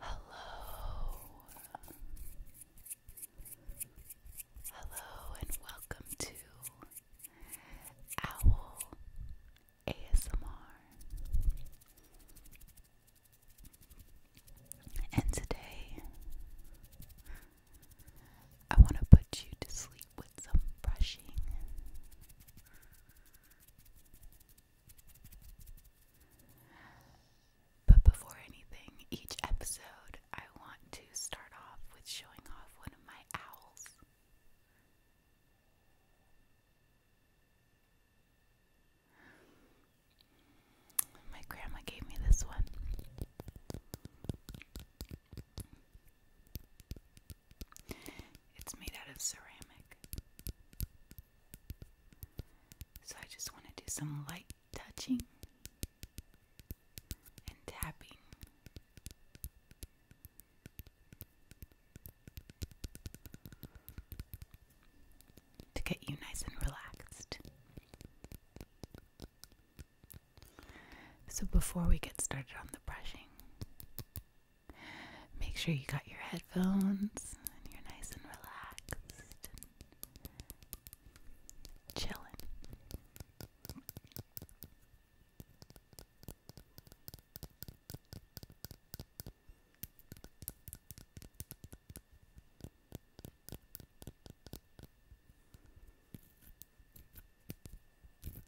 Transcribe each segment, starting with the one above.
Hello. Hello and welcome to Owl ASMR. And today I want to put you to sleep with some brushing. But before anything, each episode I want to start off with showing off one of my owls. My grandma gave me this one. It's made out of ceramic. So I just want to do some light touching and tapping. To get you nice and relaxed. So, before we get started on the brushing, Make sure you got your headphones and you're nice and relaxed and chilling.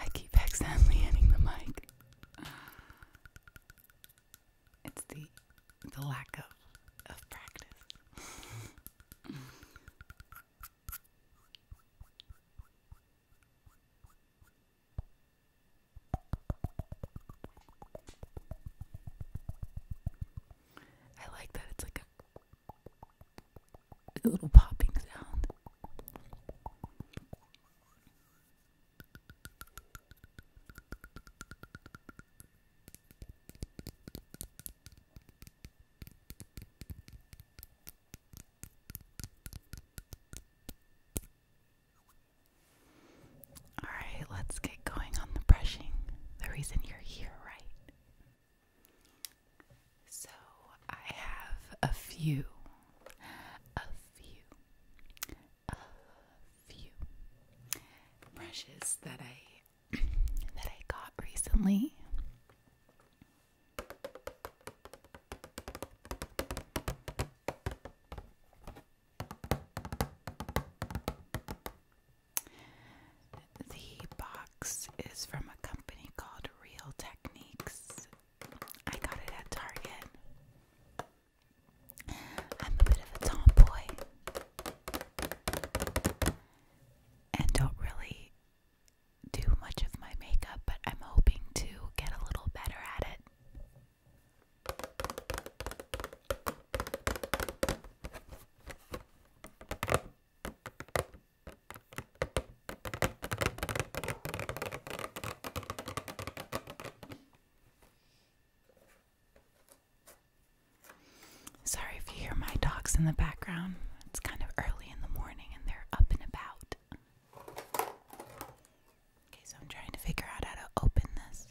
I keep accidentally hitting the mic. It's the the lack of of practice. I like that it's like a a little popping sound. All right, let's get going on the brushing. The reason you're here, right? So I have a few, a few, a few brushes that I that I got recently. The box is from a company called Real Techniques. I got it at Target. I'm a bit of a tomboy and don't really do much of my makeup, but I'm hoping to get a little better at it. Sorry if you hear my dogs in the background. It's kind of early in the morning and they're up and about. Okay, so I'm trying to figure out how to open this.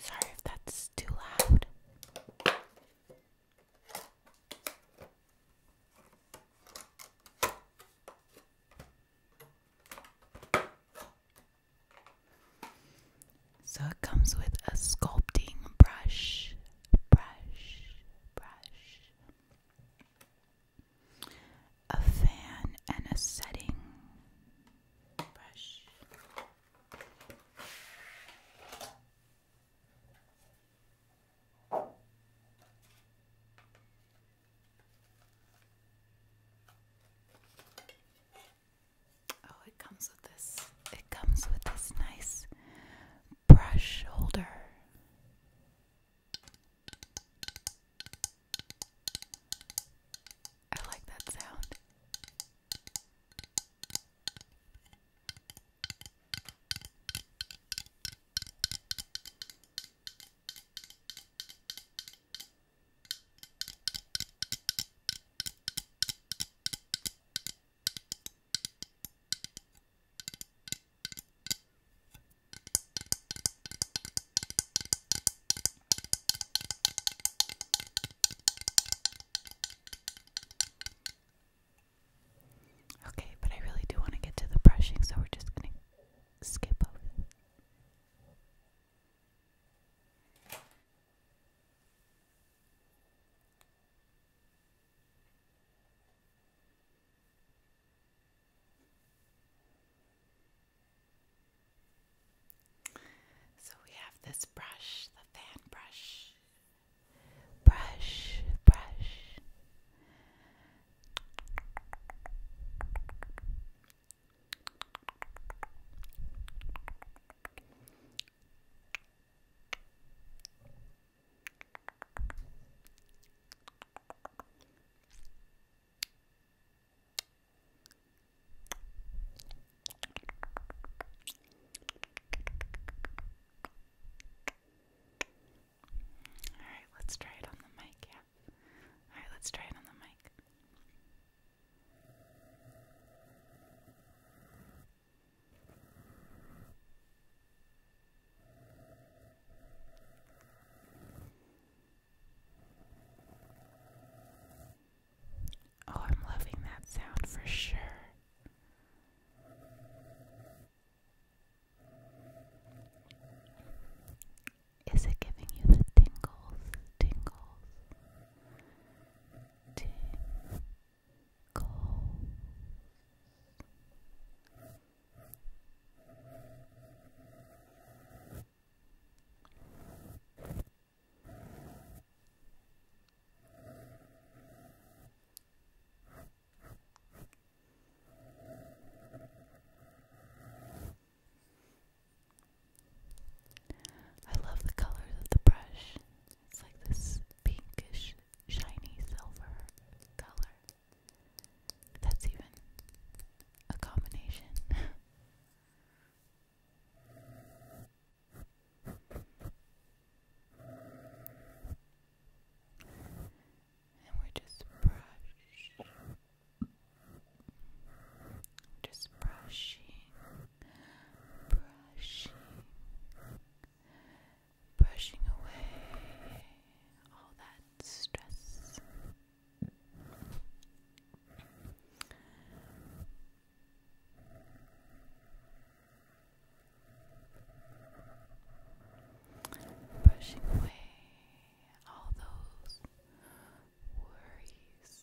Sorry if that's too loud. So it comes with a sculpting brush, brush, brush, a fan, and a setting Oh, it comes with this. It comes with this nice brush holder. I like that sound. Okay, but I really do want to get to the brushing, so we're just going to skip over it. So we have this brush, the fan brush. Brush, brush. All right, let's try it on the mic. Yeah. All right, let's try it on the mic. Oh, I'm loving that sound for sure. Is it giving you the tingles? Tingles? cold. I love the colors of the brush it's like this pinkish, shiny silver color. That's even a combination. and we're just brush, just brushing brushing, brushing away all that stress. Brushing away all those worries.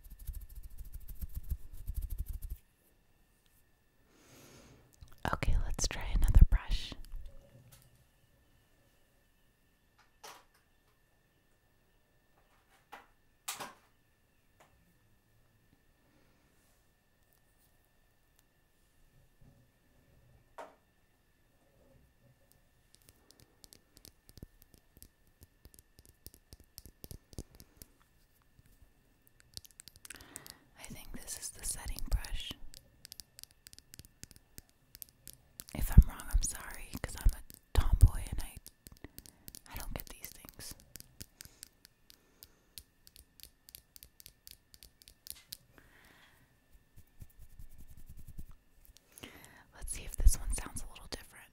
Okay, let's try another brush. I think this is the setting brush. If I'm wrong, I'm sorry, I'm a tomboy and I I don't get these things. Let's see if this one sounds a little different.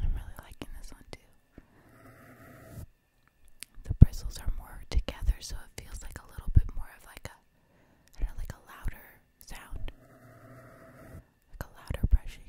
I'm really liking this one too. The bristles are more together, so it feels like a little bit more of like a, like a louder sound, like a louder brushing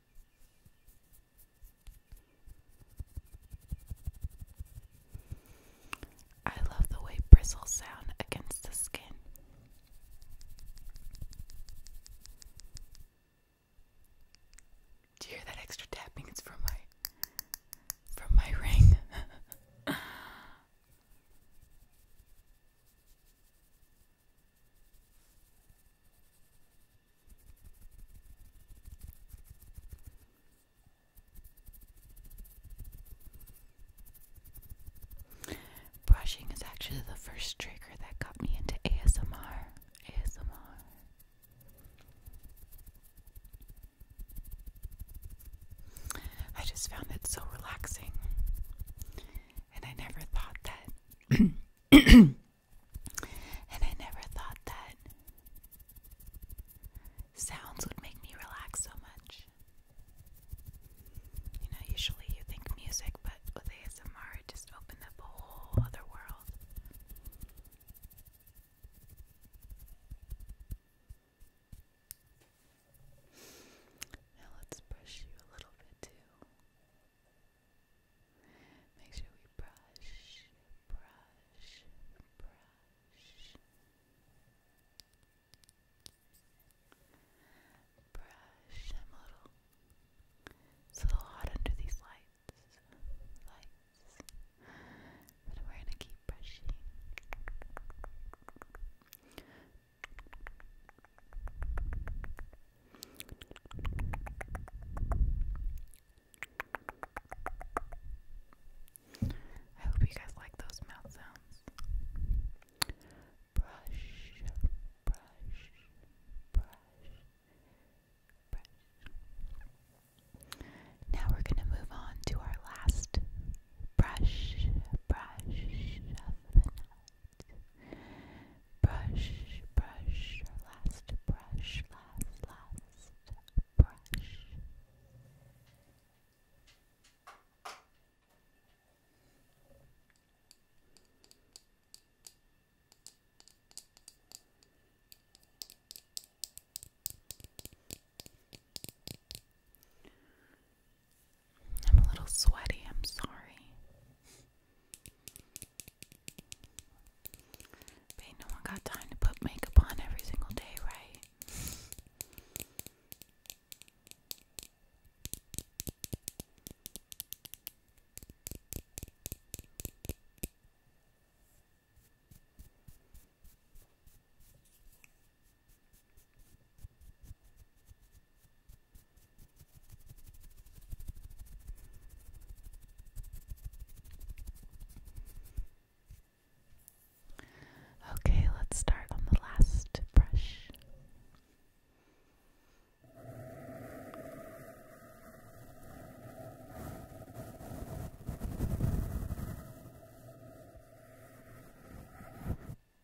I love the way bristles sound against the skin. Do you hear that extra tapping? It's from my from my ring. Brushing is actually the first trigger that got me into ASMR. ASMR. I just found it so relaxing. And I never thought that. and I never thought that sounds would make me relax so much. You know, usually you think music, but with ASMR, it just opened up a whole other world. Now let's brush you a little bit too. Make sure we brush, brush, brush. Brush. I'm a little. It's a little hot under these lights. Lights. But we're gonna keep brushing. I hope you guys like those mouth sounds. Brush, brush, brush, brush. Now we're going to move on to our last brush, brush of the night. Brush, brush, last brush, last, last brush. I'm a little sweaty, I'm sorry. But no one got time to put makeup on every single day, right? Okay, let's start on the last brush.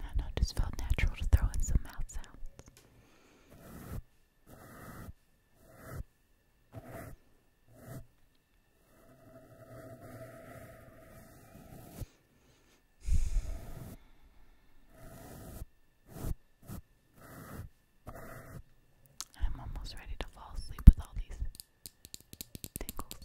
I know, just felt natural to throw in some mouth sounds. I'm almost ready to fall asleep with all these tingles.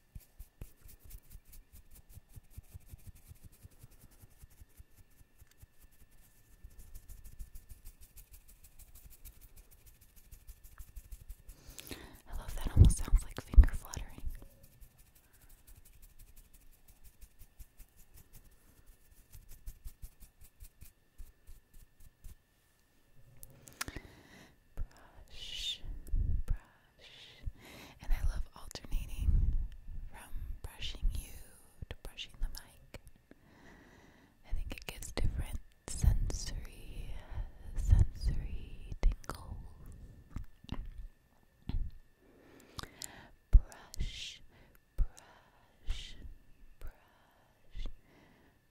I love that, almost sounds like finger fluttering. Brush, brush. And I love alternating from brushing you to brushing the mic. I think it gives different sensory, sensory tingles. Brush, brush, brush,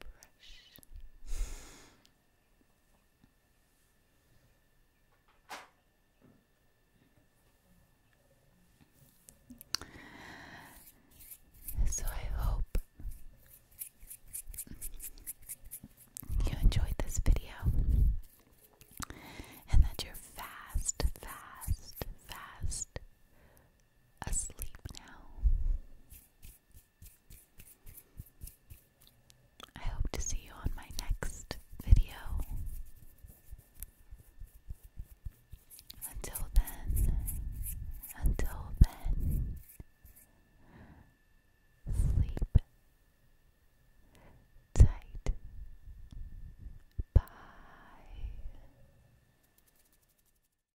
brush. So I hope you enjoyed this video and that you're fast, fast, fast asleep now. I hope to see you on my next video. Until then, until then, sleep tight. Bye.